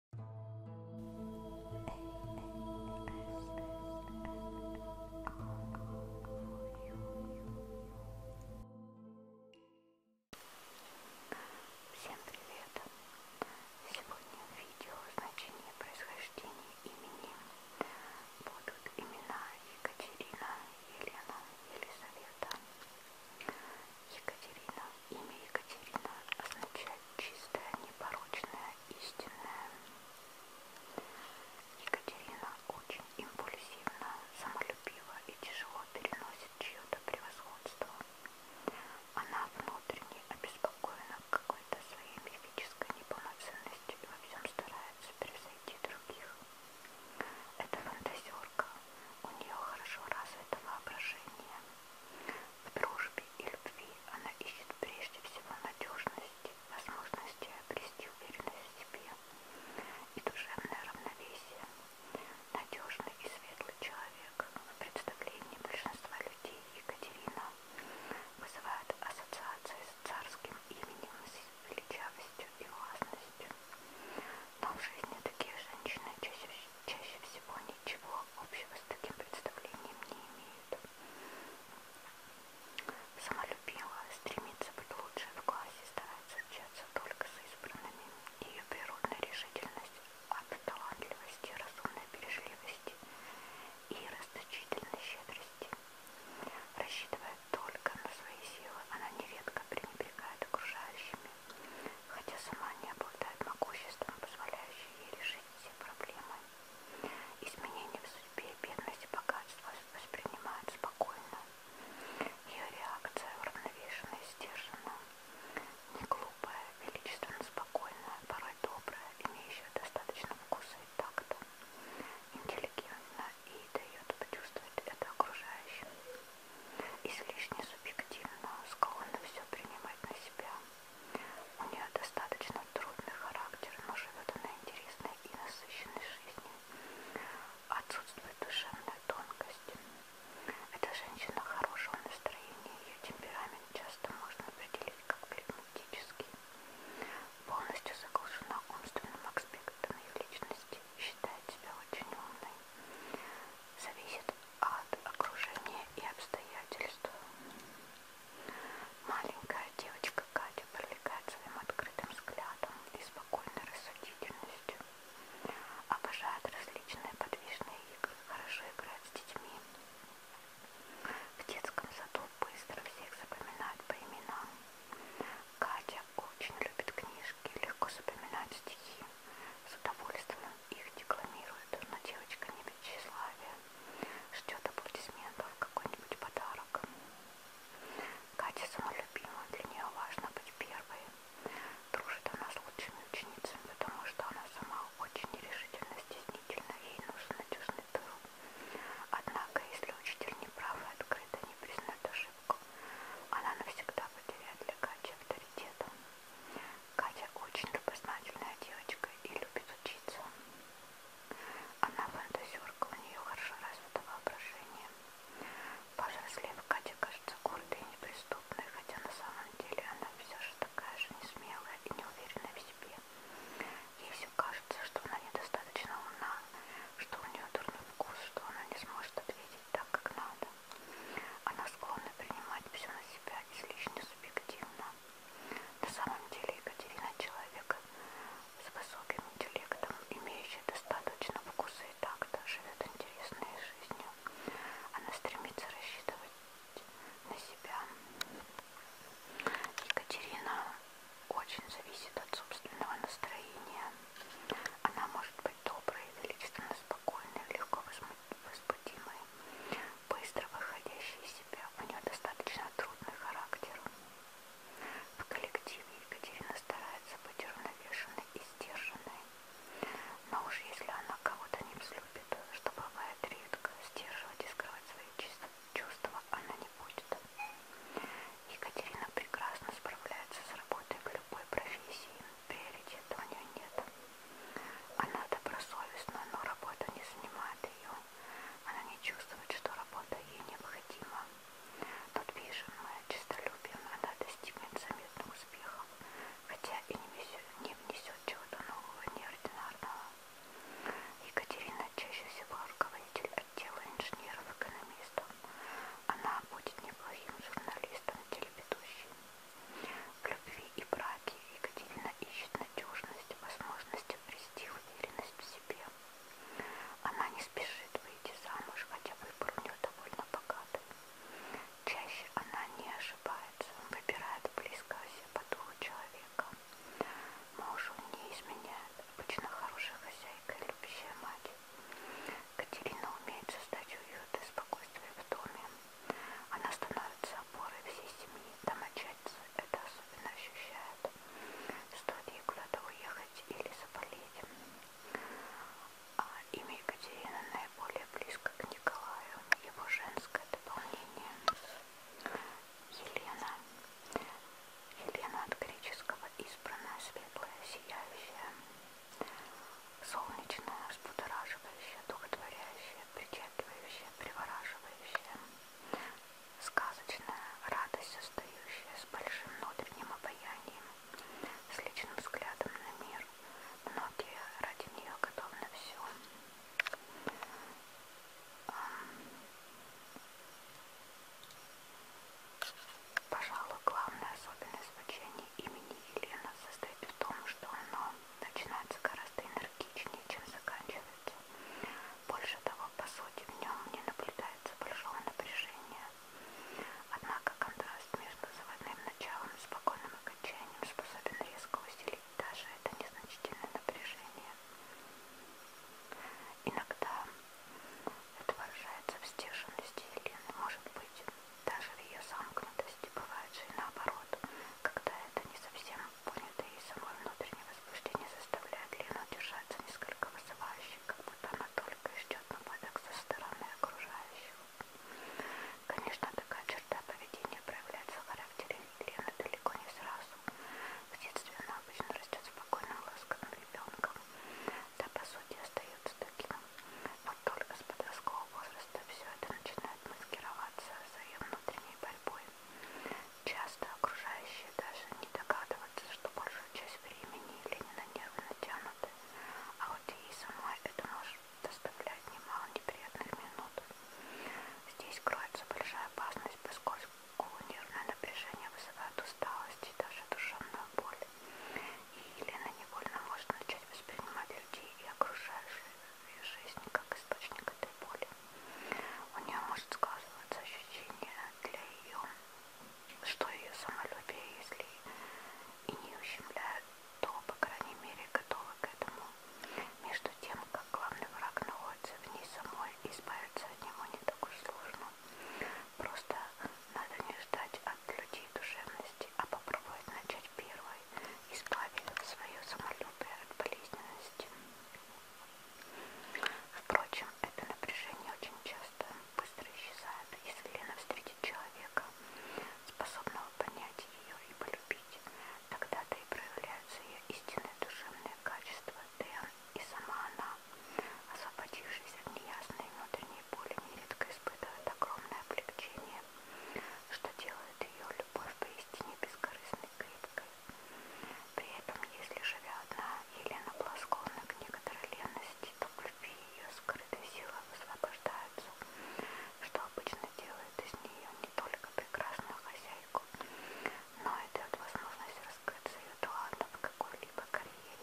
Всем привет! Сегодня в видео значение происхождения имени будут имена Екатерина, Елена, Елизавета. Екатерина. Имя Екатерина означает чистая, непорочная, истинная. Екатерина очень импульсивна, самолюбива и тяжело переносит чье-то превосходство. Она внутренне обеспокоена какой-то своей мифической неполноценностью и во всем старается превзойти других. Это фантазерка, у нее хорошо развито воображение. В дружбе и любви она ищет прежде всего надежности, возможности обрести уверенность в себе и душевное равновесие. Надежный и светлый человек в представлении большинства людей Екатерина вызывает ассоциации с царским именем, с величавостью и властностью. Но в жизни такие женщины чаще всего чаще всего ничего общего с таким представлением не имеют. Самолюбила, стремится быть лучшей в классе, старается общаться только с избранными. Ее природная решительность от талантливости, разумной бережливости и расточительной щедрости. Рассчитывая только на свои силы, она нередко пренебрегает окружающими хотя сама не обладает могуществом, позволяющим ей решить все проблемы. Изменения в судьбе, бедность и богатство воспринимают спокойно. Ее реакция уравновешена и сдержана. Не глупая, величественно спокойная, порой добрая, имеющая достаточно вкуса и такта. Интеллигентна и дает почувствовать это окружающим излишне субъективно, склонна все принимать на себя. У нее достаточно трудный характер, но живет она интересной и насыщенной жизнью. Отсутствует душевная тонкость. Эта женщина хорошего настроения, ее темперамент часто можно определить как прагматический. Полностью заглушена умственным аспектом ее личности, считает себя очень умной. Зависит от окружения и обстоятельств. Маленькая девочка Катя привлекает своим открытым взглядом и спокойной рассудительностью. Обожает различные подвижные игры, хорошо играет с детьми. В детском саду быстро всех запоминают по именам. Катя очень любит книжки, легко запоминает стихи с удовольствием их декламирует, но девочка не без тщеславия, ждет аплодисментов, какой-нибудь подарок. Катя самолюбима, для нее важно быть первой. Дружит она с лучшими ученицами, потому что она сама очень нерешительно, стеснительна, ей нужен надежный тыл. Однако, если учитель неправ и открыто не признает ошибку, она навсегда потеряет для Кати авторитет. Катя очень любознательная девочка и любит учиться. Она фантазерка, у нее хорошо развито воображение. Повзрослев, Катя кажется гордой и неприступной, хотя на самом деле она все же такая же несмелая и неуверенная в себе. Ей все кажется, что она недостаточно умна, что у нее дурной вкус, что она не сможет ответить так, как надо. Она склонна принимать все на себя излишне субъективно. На самом деле Екатерина человек с высоким интеллектом, имеющий достаточно вкуса и такта, живет интересной жизнью. Она стремится рассчитывать на себя. Екатерина очень зависит от собственного настроения. Она может быть доброй, величественно спокойной, легко возбудимой, быстро выходящей из себя. У нее достаточно трудный характер. В коллективе Екатерина старается быть уравновешенной и сдержанной. Но уж если она кого-то не взлюбит, что бывает редко, сдерживать и скрывать свои чувства она не будет. Екатерина прекрасно справляется с работой в любой профессии, приоритета у нее нет. Она добросовестна, но работа не занимает ее. Она не чувствует, что работа ей необходима. Тут бешеная, честолюбием она достигнет заметных успехов, хотя и не внесет, не внесет чего-то нового, неординарного. Екатерина чаще всего руководитель отдела инженеров-экономистов. Она будет неплохим журналистом, телеведущим. В любви и браке Екатерина ищет надежность, возможности обрести уверенность в себе. Она не спешит выйти замуж, хотя выбор у нее довольно богатый. Чаще она не ошибается, выбирает близкого себе по духу человека. Мужу не изменяет, обычно хорошая хозяйка и любящая мать. Катерина умеет создать уют и спокойствие в доме. Она становится опорой всей семьи. Домочадцы это особенно ощущают. Стоит ей куда-то уехать или заболеть. А имя Екатерина наиболее близко к Николаю. Его женское дополнение. Елена. Елена от греческого избранная, светлая, сияющая солнечное, взбудораживающее, духотворяющее, причетливающее, привораживающее, сказочная радость, состоящая с большим внутренним обаянием, с личным взглядом на мир. Многие ради нее готовы на все. Пожалуй, главная особенность звучания имени Елена состоит в том, что оно начинается гораздо энергичнее, чем заканчивается. Больше того, по сути, в нем не наблюдается большого напряжения. Однако контраст между заводным началом и спокойным окончанием способен резко усилить даже это незначительное напряжение. Иногда это выражается в сдержанности Елены, может быть, даже в ее замкнутости бывает же и наоборот, когда это не совсем понято и само внутреннее возбуждение заставляет Лену держаться несколько вызывающе, как будто она только и ждет нападок со стороны окружающих. Конечно, такая черта поведения проявляется в характере Лены далеко не сразу. В детстве она обычно растет спокойным, ласковым ребенком, да по сути остается таким. Но только с подросткового возраста все это начинает маскироваться за ее внутренней борьбой. Часто окружающие даже не догадываются, что большую часть времени Лени на нервы натянуты, а вот ей самой это может доставлять немало неприятных минут. Здесь кроется большая опасность, поскольку нервное напряжение вызывает усталость и даже душевную боль. И Елена невольно может начать воспринимать людей и окружающую жизнь как источник этой боли. У нее может сказываться ощущение для ее, что ее самолюбие, если и не ущемляют, то, по крайней мере, готовы к этому. Между тем, как главный враг находится в ней самой, избавиться от него не так уж сложно. Просто надо не ждать от людей душевности, а попробовать начать первой, избавив свое самолюбие от болезненности. Впрочем, это напряжение очень часто быстро исчезает, если Лена встретит человека, способного понять ее и полюбить. Тогда-то и проявляются ее истинные душевные качества, да и сама она Освободившись от неясной внутренней боли, нередко испытывает огромное облегчение, что делает ее любовь поистине бескорыстной крепкой. При этом, если живя одна, Елена благосклонна к некоторой ленности, то в любви ее скрытые силы высвобождаются, что обычно делает из нее не только прекрасную хозяйку, но и дает возможность раскрыться ее талантом в какой-либо карьере,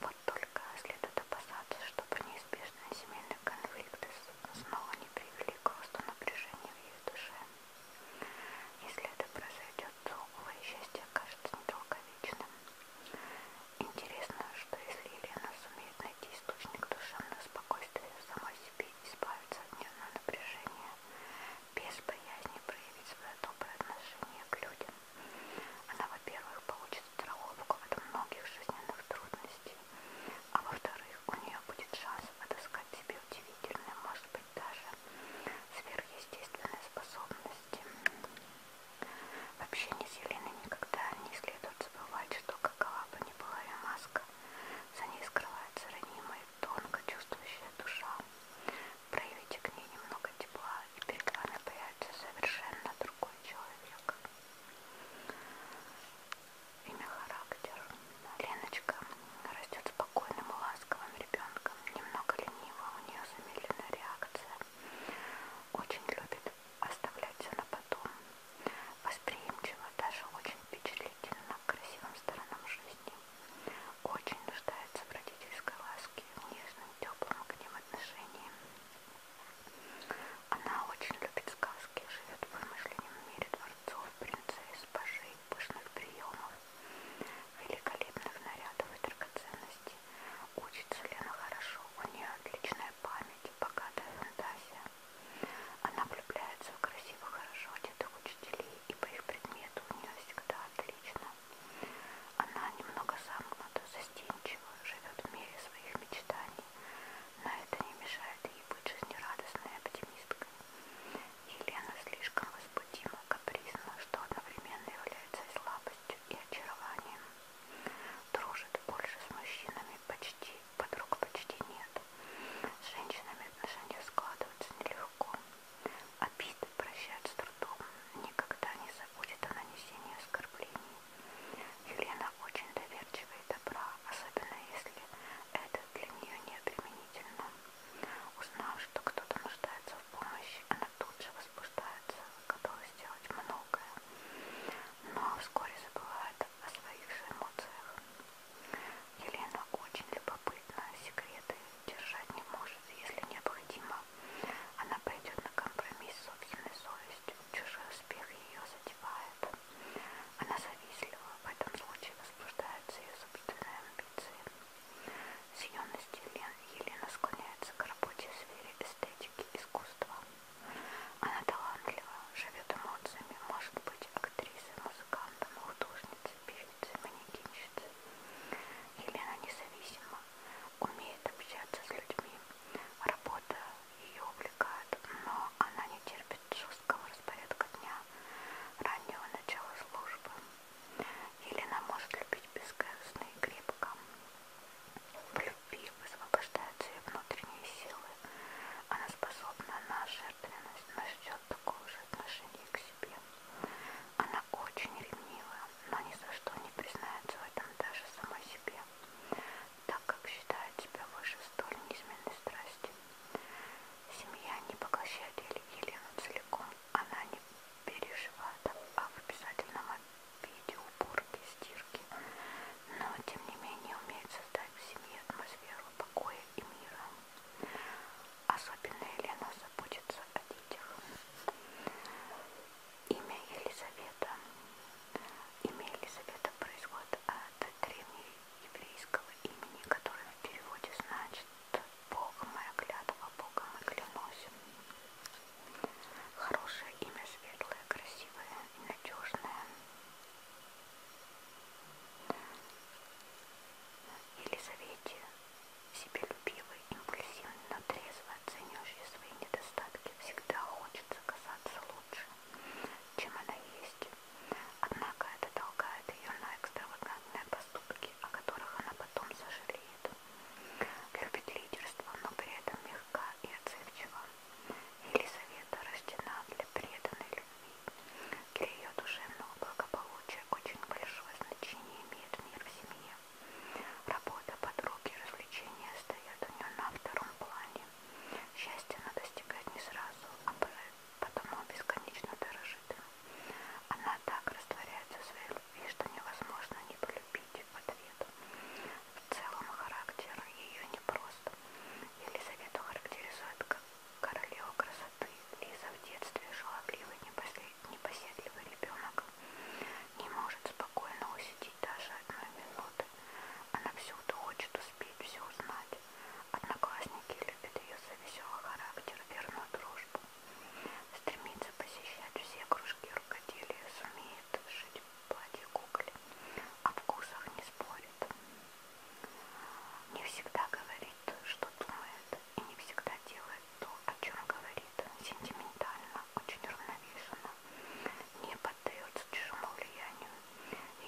вот только следует опасаться, чтобы неизбежные семейные конфликты снова не привели к росту напряжения в ее душе. Если это произойдет, то, увы, счастье окажется недолговечным. Интересно, что если Елена сумеет найти источник душевного спокойствия самой себе и избавиться от нервного напряжения, без боязни проявить свое доброе отношение к людям, она, во-первых, получит страховку от многих жизненных трудностей, а во-вторых, у нее будет шанс отыскать себе удивительные, может быть, даже сверхъестественные способности. Вообще, не Еленой никогда не следует забывать, что какова бы ни была ее маска, за ней скрывается ранимая, тонко чувствующая душа, проявите к ней немного тепла, и перед вами появится совершенно другой человек. Имя характер. Леночка растет спокойным, ласковым ребенком, немного ленива, у нее замедленная реакция. Очень любит оставлять все на потом. Восприимчива, даже очень впечатлительна к красивым сторонам жизни очень нуждается в родительской ласке, в нежном, теплом к ним отношении. Она очень любит сказки, живет в вымышленном мире дворцов, принцесс, пажей, пышных приемов, великолепных нарядов и драгоценностей. Учится Лена хорошо, у нее отличная память, богатая фантазия. Она влюбляется в красивых, хорошо одетых учителей, и по их предмету у нее всегда отлично она немного замкнута, застенчива, живет в мире своих мечтаний, но это не мешает ей быть жизнерадостной оптимисткой. Елена слишком возбудима, капризна, что одновременно является и слабостью, и очарованием. Дружит больше с мужчинами почти, подруг почти нет. С женщинами отношения складываются нелегко. Обиды прощают с трудом, никогда не забудет о нанесении оскорблений. Елена очень доверчива и добра, особенно если это для нее не применительно. Узнав, что кто-то нуждается в помощи, она тут же возбуждается, готова сделать многое, но вскоре забывает о своих же эмоциях. Елена очень любопытна любопытна, секреты держать не может, если необходимо. Она пойдет на компромисс с собственной совестью, чужой успех ее задевает. Она завистлива, в этом случае возбуждаются ее собственные амбиции. С юности Елена склоняется к работе в сфере эстетики искусства. Она талантлива, живет эмоциями, может быть актрисой, музыкантом, художником пишет манекенщица. Елена независима, умеет общаться с людьми. Работа ее увлекает, но она не терпит жесткого распорядка дня, раннего начала службы. Елена может любить бескорыстно и крепко. В любви высвобождаются ее внутренние силы. Она способна на жертвенность, но ждет такого же отношения к себе. Она она очень ревнива, но ни за что не признается в этом даже сама себе, так как считает себя выше столь неизменной страсти. Семья не поглощает Елену целиком, она не переживает об обязательном обиде, уборке, стирке, но тем не менее умеет создать в семье атмосферу покоя и мира. Особенно Елена заботится о детях. Имя Елизавета. Имя Елизавета происходит от древнееврейского имени, которое в переводе значит «Бог моя клятва, Богом и клянусь». Хорошее имя, светлое, красивое и надежное. Елизавете себелюбивый, импульсивный, но трезво оценивающий свои недостатки, всегда хочется казаться лучше, чем она есть. Однако это толкает ее на экстравагантные поступки, о которых она потом сожалеет. Любит лидерство, но при этом мягка и отзывчива. Елизавета рождена для преданной любви для ее душевного благополучия очень большое значение имеет мир в семье. Работа, подруги, развлечения стоят у нее на втором плане. Счастье она достигает не сразу, а потом он бесконечно дорожит им. Она так растворяется в своей любви, что невозможно не полюбить в ответ. В целом характер ее непрост. Елизавету характеризует как королева красоты. Лиза в детстве шаловливый, непоседливый ребенок. Не может спокойно усидеть даже одной минуты. Она всюду хочет успеть все узнать. Одноклассники любят ее за веселый характер, верную дружбу. Стремится посещать все кружки рукоделия, сумеет шить платье кукле. О вкусах не спорит. Не всегда говорит, что думает и не всегда делает то, о чем говорит, сентиментально, очень равновешенно, не поддается чужому влиянию.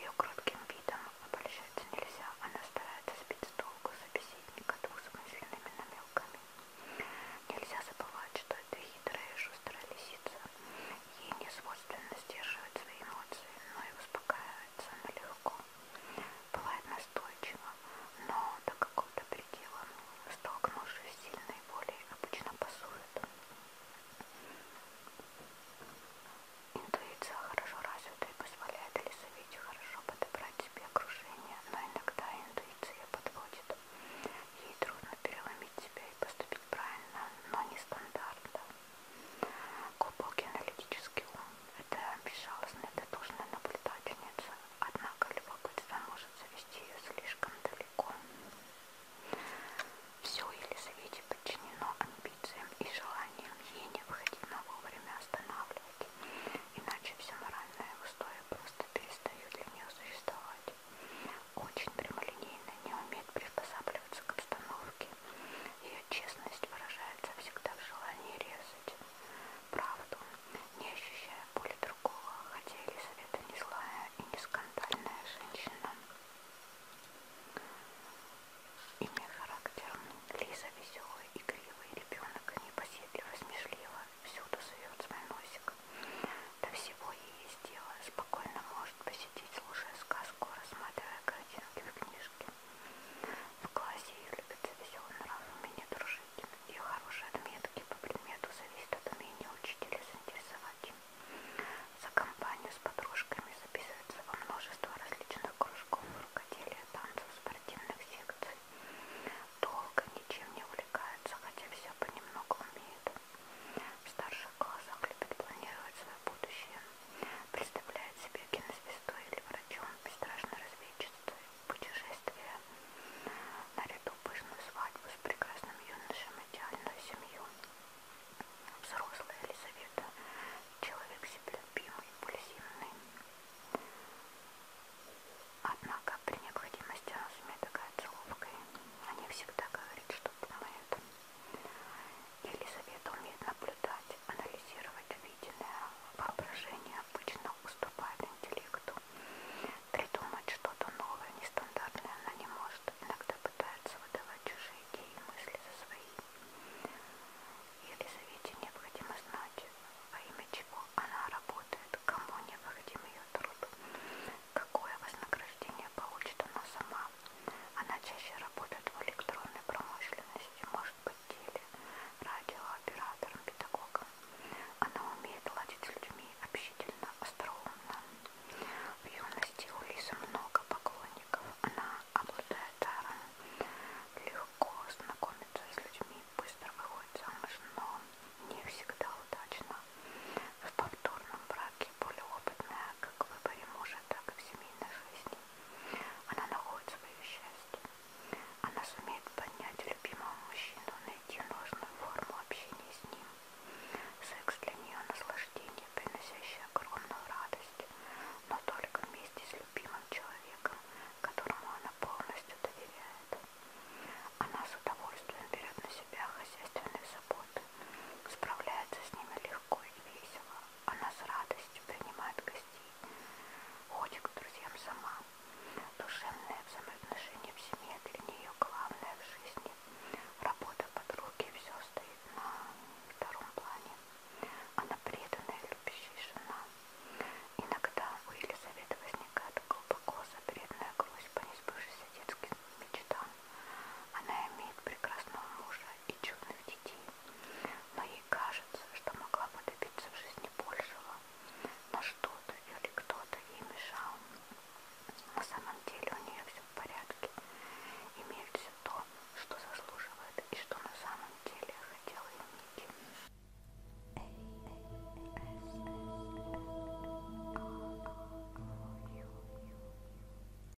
Ее кротким видом обольщаться нельзя, она старается сбить с толку собеседника двусмысленными намеками. Нельзя забывать, что это хитрая и шустрая лисица. Ей не свойственно сдерживать свои эмоции, но и успокаивается она легко бывает настойчива, но до какого-то предела, ну, столкнувшись с сильной волей, обычно пасует. Интуиция хорошо развита и позволяет Елизавете хорошо подобрать себе окружение, но иногда интуиция подводит. Ей трудно переломить себя и поступить правильно, но не стандартно. Глубокий аналитический ум – это безжалостная дотошная наблюдательница, однако любопытство может завести ее слишком далеко. Все Елизавете подчинено амбициям и желаниям, ей необходимо вовремя останавливать, иначе все моральное устои просто перестают для нее существовать. Очень прямолинейно не умеет приспосабливаться к обстановке, ее честность выражается всегда в желании резать правду, не ощущая боли другого, хотя Елизавета не злая и не скандальная женщина. Имя характер Лиза веселый, игривый ребенок, непоседливо, смешлива, всюду сует свой носик. До всего ей есть дело, спокойно может посетить, слушая сказку, рассматривая картинки в книжке. В классе ее любят за веселый нрав, умение дружить. Ее хорошие отметки по предмету зависят от умения учителя заинтересовать. За компанию с подружками записывается во множество различных кружков, рукоделия, танцев, спортивных секций. Долго ничем не увлекается, хотя все понемногу умеет. В старших классах любит планировать свое будущее представляет себе кинозвездой или врачом, бесстрашной разведчицей, путешествие наряду пышную свадьбу с прекрасным юношем, идеальную семью. Взрослая Елизавета, человек себелюбимый, пульсивный. Однако при необходимости она сумеет оказаться ловкой. Она всегда говорит, что думает. Елизавета умеет наблюдать, анализировать увиденное. Воображение обычно уступает интеллекту. Придумать что-то новое, нестандартное она не может. Иногда пытается выдавать чужие идеи и мысли за свои. Елизавете необходимо знать, во имя чего она работает, кому необходим ее труд, какое вознаграждение получит она сама, она чаще работает в электронной промышленности, может быть теле, радиооператором, педагогом. Она умеет ладить с людьми общительно, остроумно. В юности у Лизы много поклонников. Она обладает даром, легко знакомится с людьми, быстро выходит замуж, но не всегда удачно. В повторном браке более опытная как в выборе мужа, так и в семейной жизни. Она находит свое счастье. Она сумеет поднять любимого мужчину, найти нужную форму общения с ним. Секс для нее наслаждение, приносящее огромную радость, но только вместе с любимым человеком, которому она полностью доверяет. Она с удовольствием берет на себя хозяйственные заботы, справляется с ними легко и весело, она с радостью принимает гостей, ходит к друзьям сама. Душевное взаимоотношение в семье для нее главное в жизни. Работа подруги все стоит на втором плане. Она преданная, любящая жена. Иногда у Елизаветы возникает глубоко запретная грусть по несбывшейся детским мечтам. Она имеет прекрасного мужа и чудных детей. Но ей кажется, что могла бы добиться в жизни большего, но что-то или кто-то ей мешал. На самом деле у нее все в порядке, имеет все то, что заслуживает и что на самом деле хотела иметь.